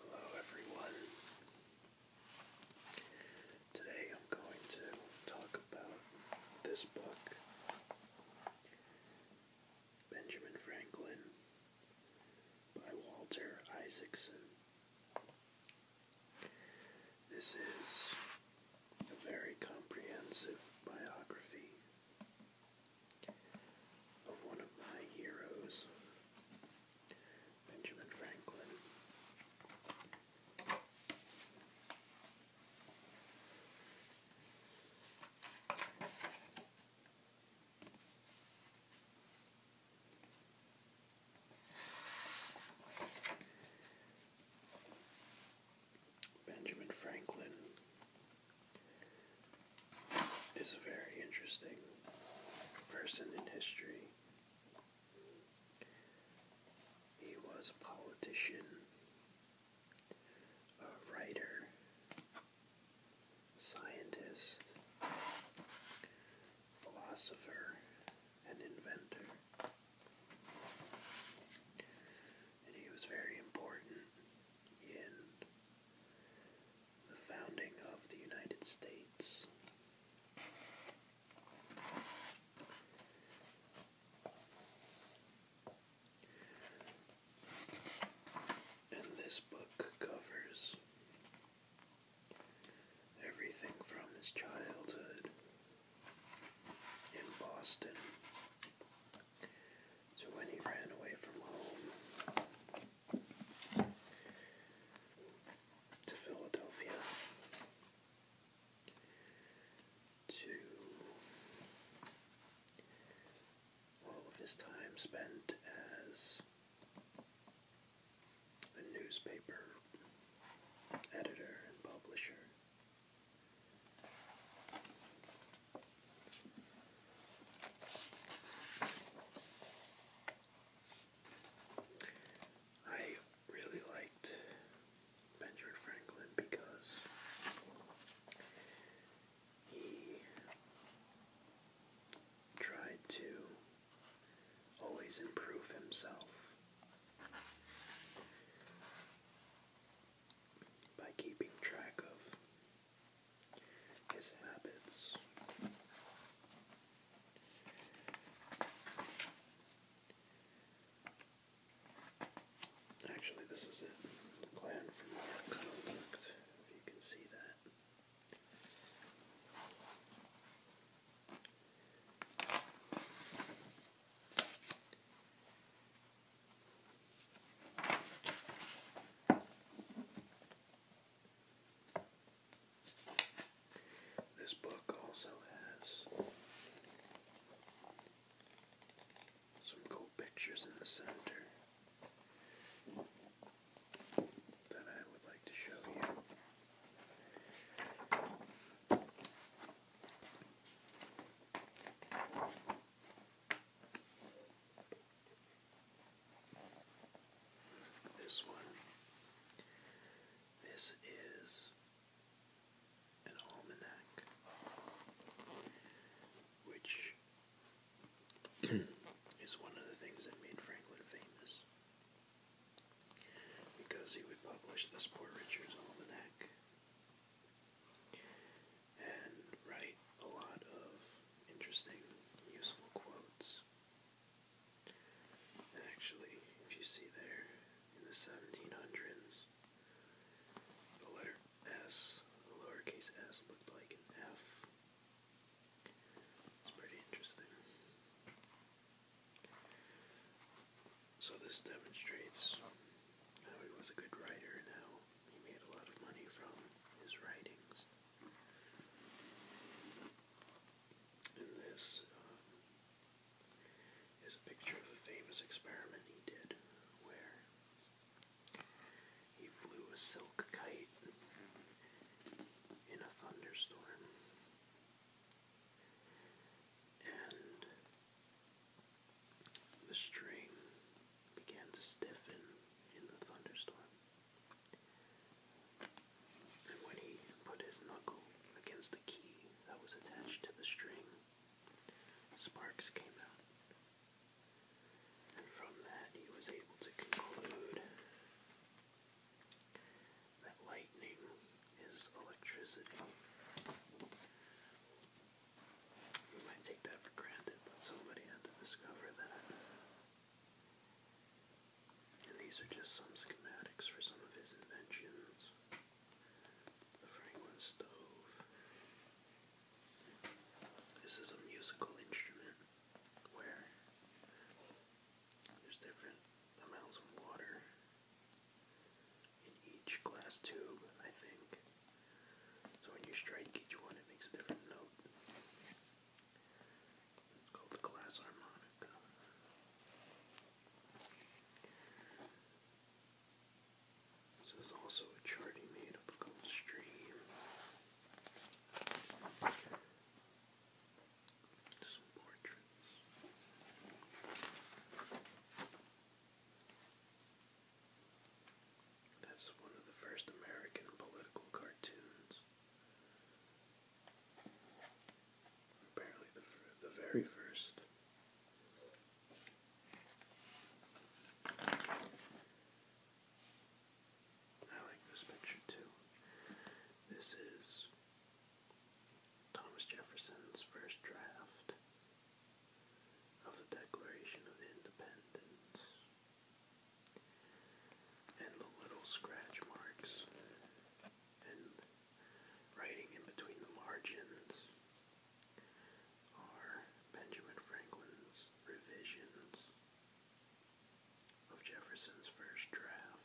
Hello everyone. Today I'm going to talk about this book, Benjamin Franklin by Walter Isaacson. This is a very comprehensive biography of one of my heroes, Benjamin Franklin. Benjamin Franklin is a very interesting person in history. He was a politician, a writer, scientist, philosopher, and inventor. And he was very important in the founding of the United States. And this book covers everything from his childhood in Boston so when he ran away from home to Philadelphia to all of his time spent as a newspaper editor and publisher. I really liked Benjamin Franklin because he tried to always improve himself by keeping track of his habits. Actually, this is it. plan for more conflict, if you can see that. This book also has some cool pictures in the center that I would like to show you. This one. This is an almanac, which is one of the things that made Franklin famous. Because he would publish this Poor Richard's Almanac and write a lot of interesting, useful quotes. And actually, if you see there, in the 1700s, the letter S, the lowercase s, looked like an F. It's pretty interesting. So this demonstrates how he was a good writer and how he made a lot of money from his writings. And this um, is a picture of a famous experiment he did where he flew a silk kite in a thunderstorm. And the string began to stiffen in the thunderstorm. And when he put his knuckle against the key that was attached to the string, sparks came out. And from that, he was able to conclude that lightning is electricity. You might take that for granted, but somebody had to discover that. And these are just some schematics for some of his inventions. The Franklin stove. This is a musical instrument where there's different amounts of water in each glass tube, I think. So when you strike each one, it makes a different note. called the glass harmonica. So there's also a chart he made of the cold stream. Some portraits. That's one of the first American political cartoons. Apparently, the, the very first. I like this picture too. This is Thomas Jefferson's first draft of the Declaration of Independence and the little scratch marks and writing in between the margins are Benjamin Franklin's revisions of Jefferson's first draft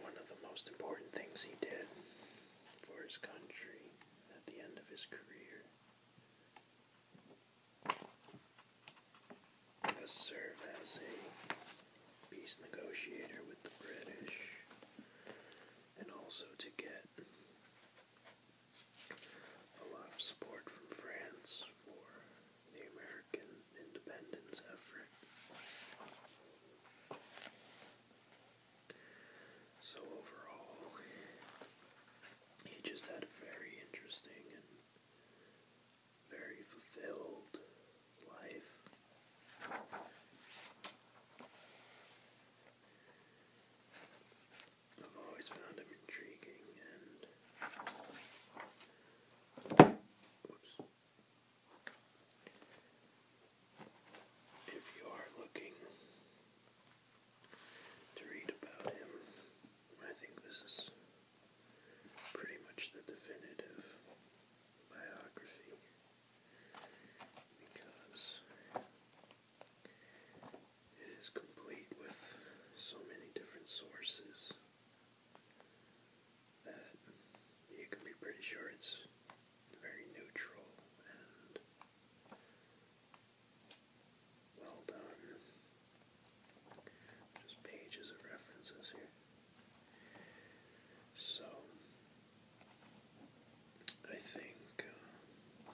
one of the most important things he did for his country at the end of his career to serve as a peace negotiator with the British and also to get a lot of support from France for the American independence effort. So overall, he just had a very interesting and very fulfilled life. I've always found him intriguing and. If you are looking to read about him, I think this is pretty much the definitive biography because it is complete with so many different sources that you can be pretty sure it's very neutral and well done. Just pages of references here. So, I think uh,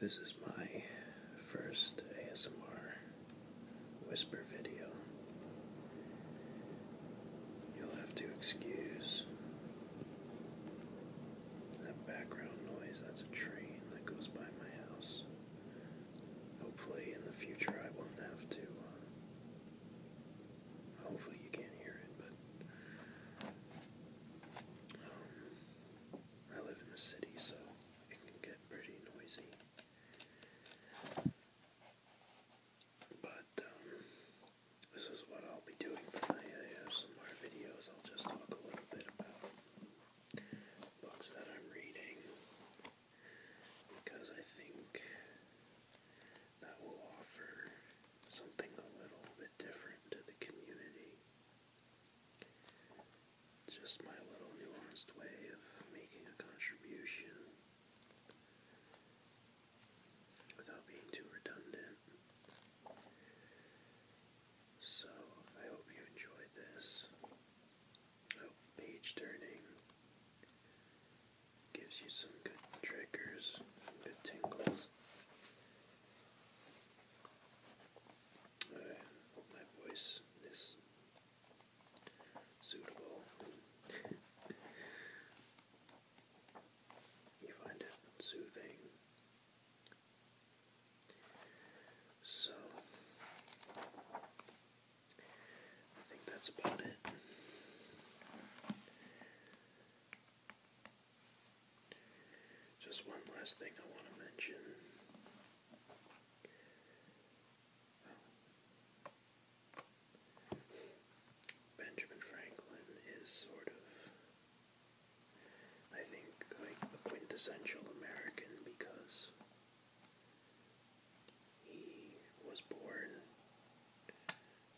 this is my first ASMR whisper video. You'll have to excuse that background noise, that's a train that goes by my house. Hopefully, in the future, I won't have to. Uh, hopefully, you can't hear it, but. Um, I live in the city, so it can get pretty noisy. But, um, this is what I'll be doing for my ASMR videos. I'll just talk a little bit about books that I'm reading because I think that will offer something a little bit different to the community. just my little nuanced way of making a contribution without being too redundant. So I hope you enjoyed this. I hope page turning gives you some good triggers, some good tingles. I hope my voice is suitable. you find it soothing. So, I think that's about it. Just one last thing I want to mention. Benjamin Franklin is sort of I think like the quintessential American because he was born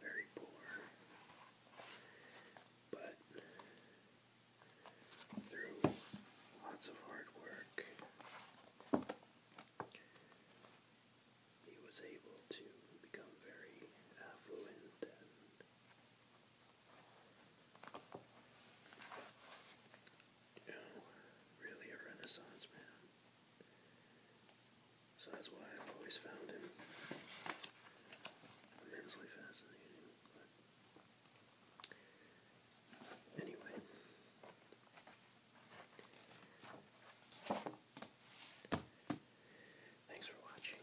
very poor, but through lots of hard work, he was able to become very affluent and really a renaissance man. So that's why I've always found him immensely fascinating. anyway. Thanks for watching.